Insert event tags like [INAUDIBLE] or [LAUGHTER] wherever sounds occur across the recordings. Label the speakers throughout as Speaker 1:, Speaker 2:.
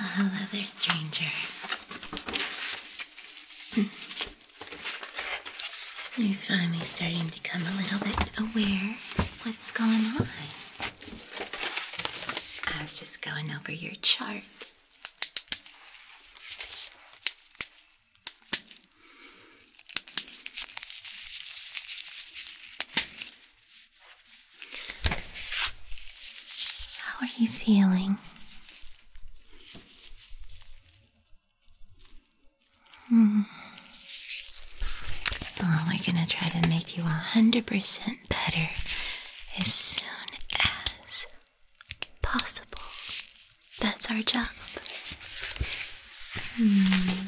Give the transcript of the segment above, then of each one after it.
Speaker 1: Well, hello there, stranger. Hmm. You're finally starting to become a little bit aware of what's going on. I was just going over your chart. How are you feeling? Hmm. we're gonna try to make you a hundred percent better as soon as possible. That's our job. Hmm.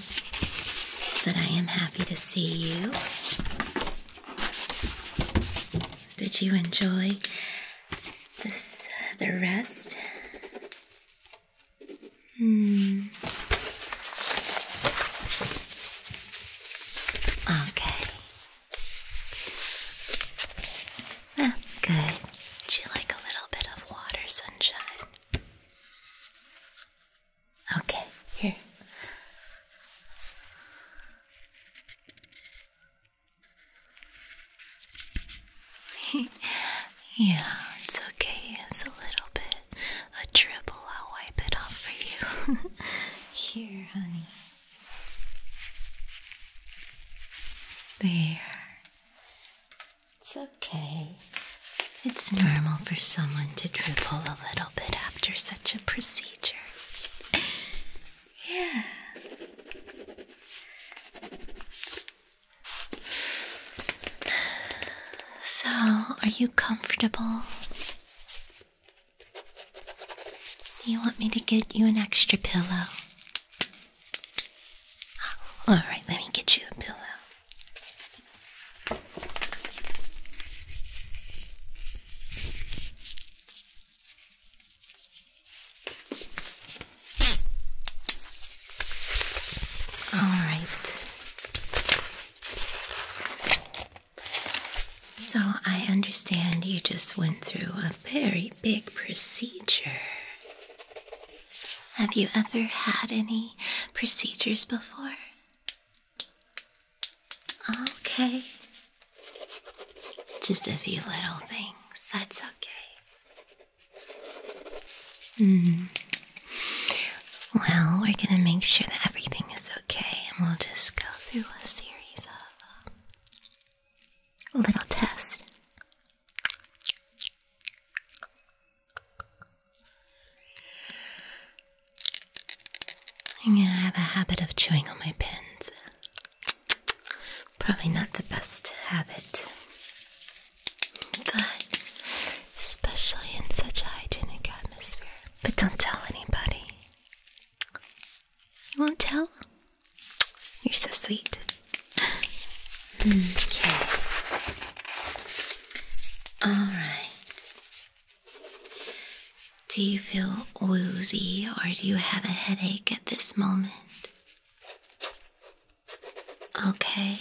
Speaker 1: But I am happy to see you. Did you enjoy this uh, the rest. Hmm. Okay. That's good. Would you like a little bit of water, sunshine? Okay, here. [LAUGHS] yeah, it's okay. It's a little bit, a dribble. I'll wipe it off for you. [LAUGHS] Here, honey. There. It's okay. It's normal for someone to dribble a little bit after such a procedure. Yeah. So, are you comfortable? Do you want me to get you an extra pillow? Alright, let me get you a pillow. All right. So I understand you just went through a very big procedure. Have you ever had any procedures before? Okay. Just a few little things. That's okay. Mm. Well, we're going to make sure that everything is okay, and we'll just go through a series of um, little tests. I'm gonna have a habit of chewing on my pins. Probably not the best habit, but especially in such a hygienic atmosphere. But don't tell anybody. You won't tell? You're so sweet. Hmm. Okay. All right. Do you feel woozy or do you have a headache at this moment? Okay.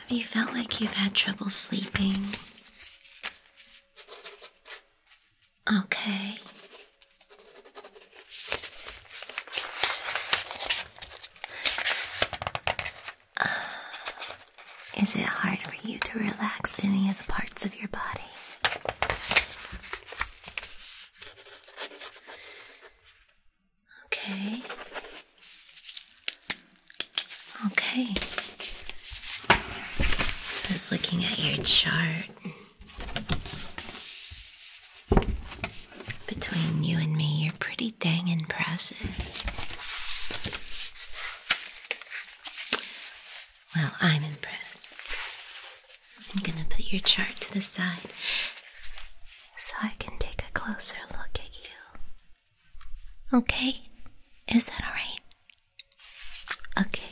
Speaker 1: Have you felt like you've had trouble sleeping? Okay. Is it hard for you to relax any of the parts of your body? Okay. Okay. Just looking at your chart. Between you and me, you're pretty dang impressive. Well, I'm impressed. I'm gonna put your chart to the side so I can take a closer look at you. Okay? Is that alright? Okay.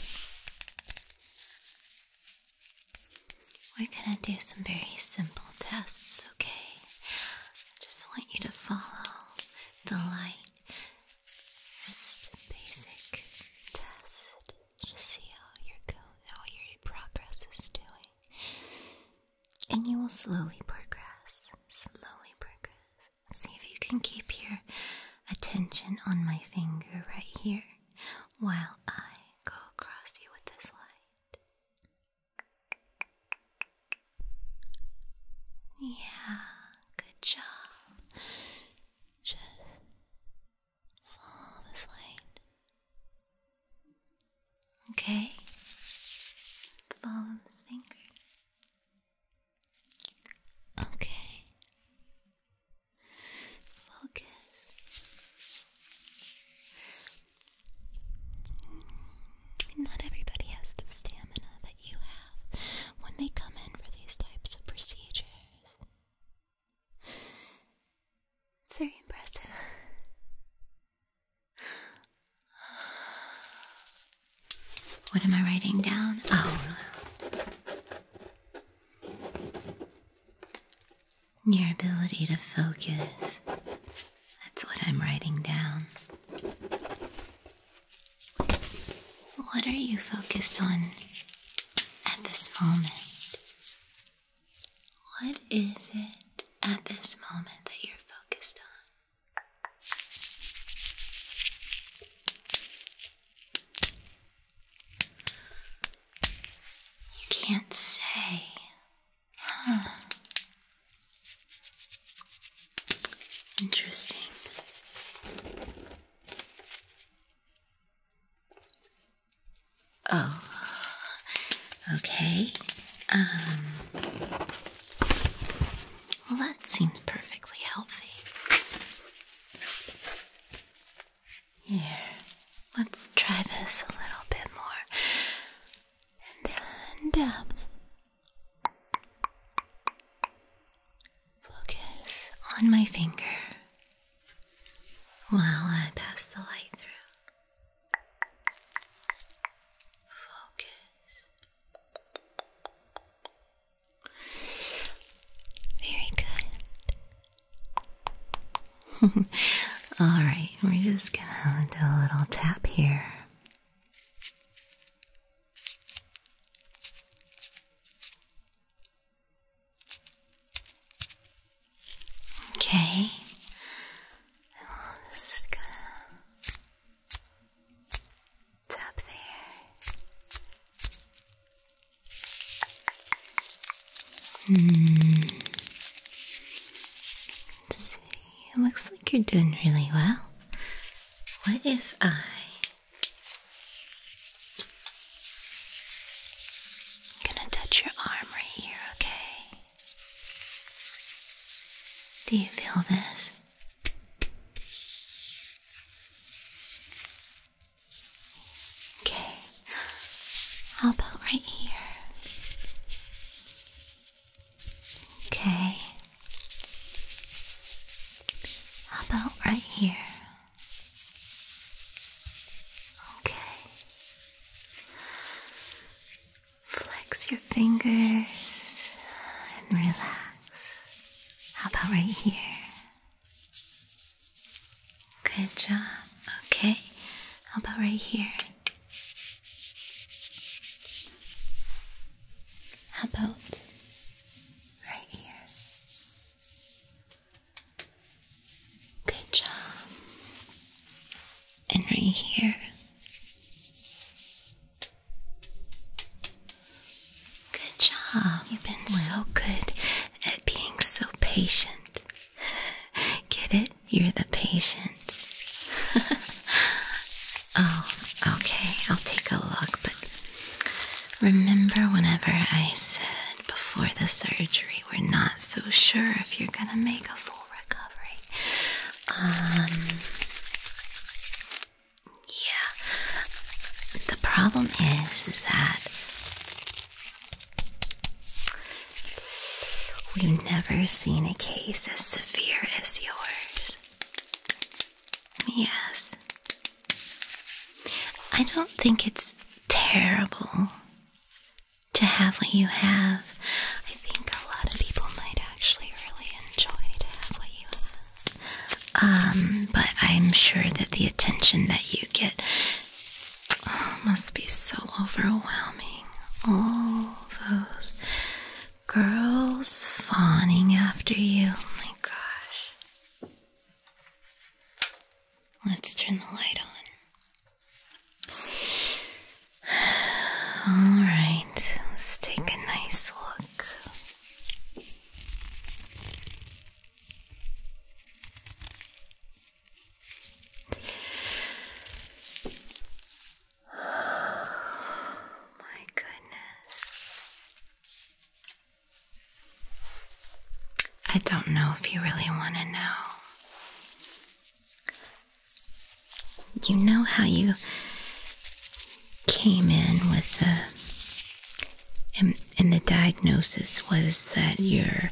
Speaker 1: We're gonna do some very simple tests, okay? I just want you to follow the light just basic test to see how your how your progress is doing. And you will slowly progress. Slowly progress. See if you can keep your attention on my finger right here while I go across you with this light. Yeah. Good job. Just follow this light. Okay. Follow this finger. Okay. Focus. Not everybody has the stamina you have when they come in for these types of procedures. It's very impressive. What am I writing down? Oh, your ability to focus. That's what I'm writing down. What are you focused on at this moment? What is it at this moment that you're focused on? You can't say. Huh. Interesting. Oh, okay. Um, well, that seems perfectly healthy. Here, let's try this a little bit more. And then dab, um, Focus on my finger while I pass the light through. Focus. Very good. [LAUGHS] All right, we're just gonna do a little tap here. Okay, and we just gonna tap there. Hmm. Let's see, it looks like you're doing really well. What if I gonna touch your arm right here, okay? Do you feel this? Okay. How about right here? Okay. How about right here? Okay. Flex your fingers and relax. How about right here? Good job. Okay. How about right here? How about right here. Good job. And right here. Good job. You've been so good at being so patient. [LAUGHS] Get it? You're the patient. [LAUGHS] Oh, okay, I'll take a look, but remember whenever I said before the surgery we're not so sure if you're gonna make a full recovery. Um yeah. The problem is is that We've never seen a case as severe as yours. Yes. I don't think it's terrible to have what you have. I think a lot of people might actually really enjoy to have what you have. Um, but I'm sure that the attention that you get oh, must be so overwhelming. All those girls fawning after you. Oh my gosh. Let's turn the light on. [SIGHS] All right, let's take a nice look. Oh my goodness. I don't know if you really want to know. You know how you came in with the and, and the diagnosis was that you're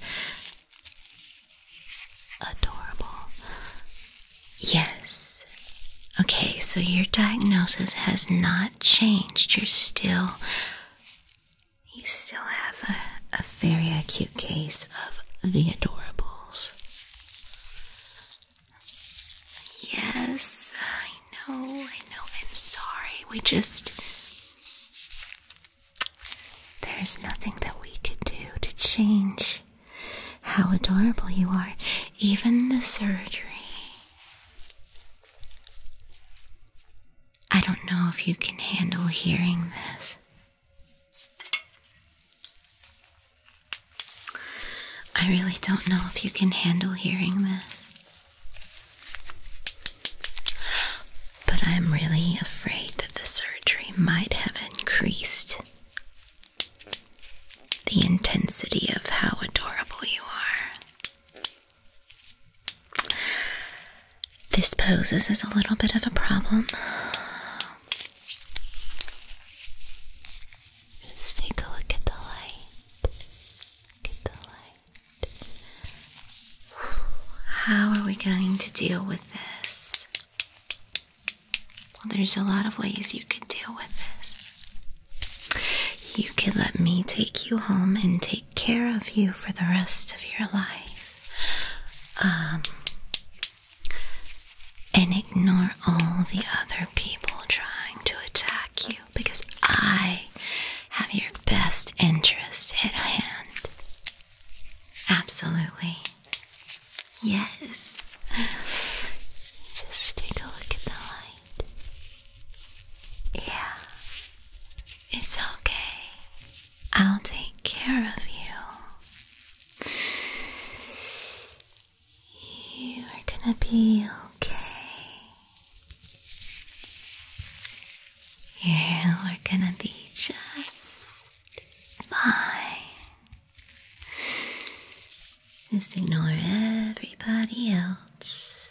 Speaker 1: adorable. Yes. Okay, so your diagnosis has not changed. You're still. You still have a, a very acute case of the adorables. Yes, I know, I know, I'm sorry. We just. There's nothing that we could do to change how adorable you are, even the surgery. I don't know if you can handle hearing this. I really don't know if you can handle hearing this. But I'm really afraid that the surgery might have increased the intensity of how adorable you are. This poses as a little bit of a problem. Just take a look at the light. How are we going to deal with this? Well, there's a lot of ways you could deal with this. You could let me take you home and take care of you for the rest of your life. Um, and ignore all the other people trying to attack you because I have your best interest at hand. Absolutely. Yes. Just take a look at the light. Yeah. It's okay. I'll take care of you. You are gonna be okay. You are gonna be just fine. Just ignore everybody else.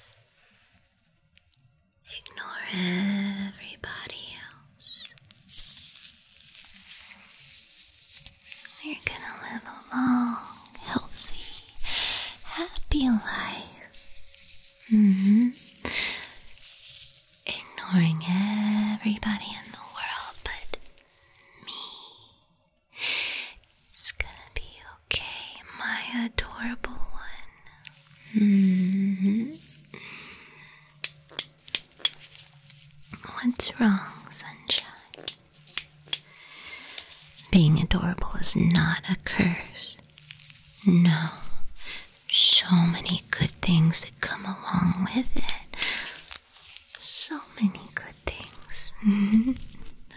Speaker 1: Ignore everybody else. You're gonna live a long, healthy, happy life. Mm hmm. Ignoring everybody in the world but me. It's gonna be okay, my adorable one. -hmm. What's wrong, sunshine? Being adorable is not a curse. No, so many good things that come along with it. So many good things. Mm-hmm.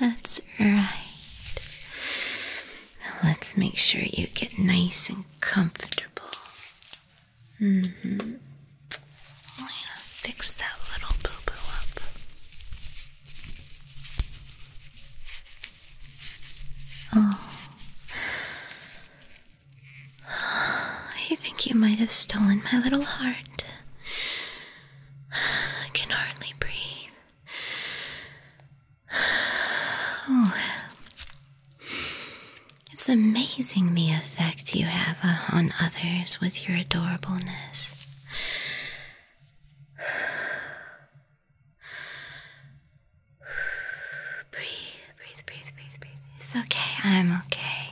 Speaker 1: That's right. let's make sure you get nice and comfortable. Mm hmm. fix that little boo boo up. Oh. [SIGHS] I think you might have stolen my little heart. I can hardly breathe. Oh, it's amazing the effect you have on others with your adorableness. [SIGHS] Breathe, breathe, breathe, breathe, breathe. It's okay, I'm okay.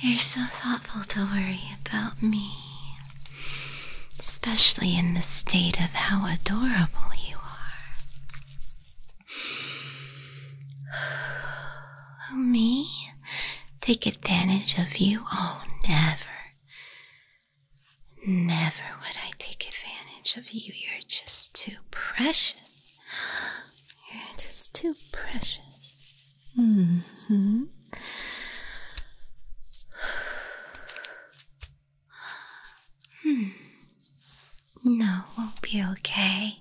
Speaker 1: You're so thoughtful to worry about me. Especially in the state of how adorable you are. Oh, [SIGHS] me? Take advantage of you? Oh, never. Never would I take advantage of you. You're just too precious. You're just too precious. Mm -hmm. hmm. No, won't be okay.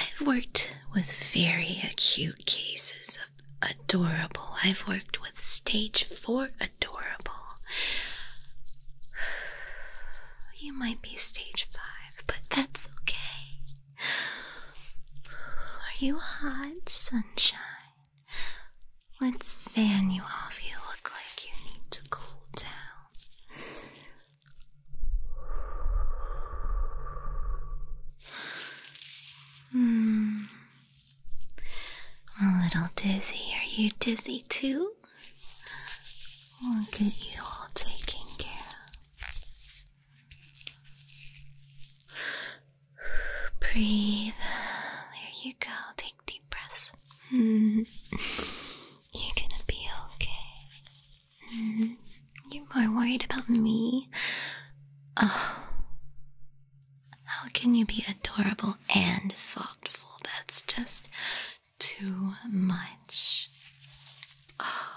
Speaker 1: I've worked with very acute cases of adorable. I've worked with stage four adorable. You might be stage five, but that's okay. Are you hot, sunshine? Let's fan you off. You look like you need to cool down. Hmm. A little dizzy. Are you dizzy too? We'll get you all taken care Breathe. There you go. Take deep breaths. [LAUGHS] You're gonna be okay. You're more worried about me. Oh. How can you be adorable and thoughtful? That's just too much. Oh.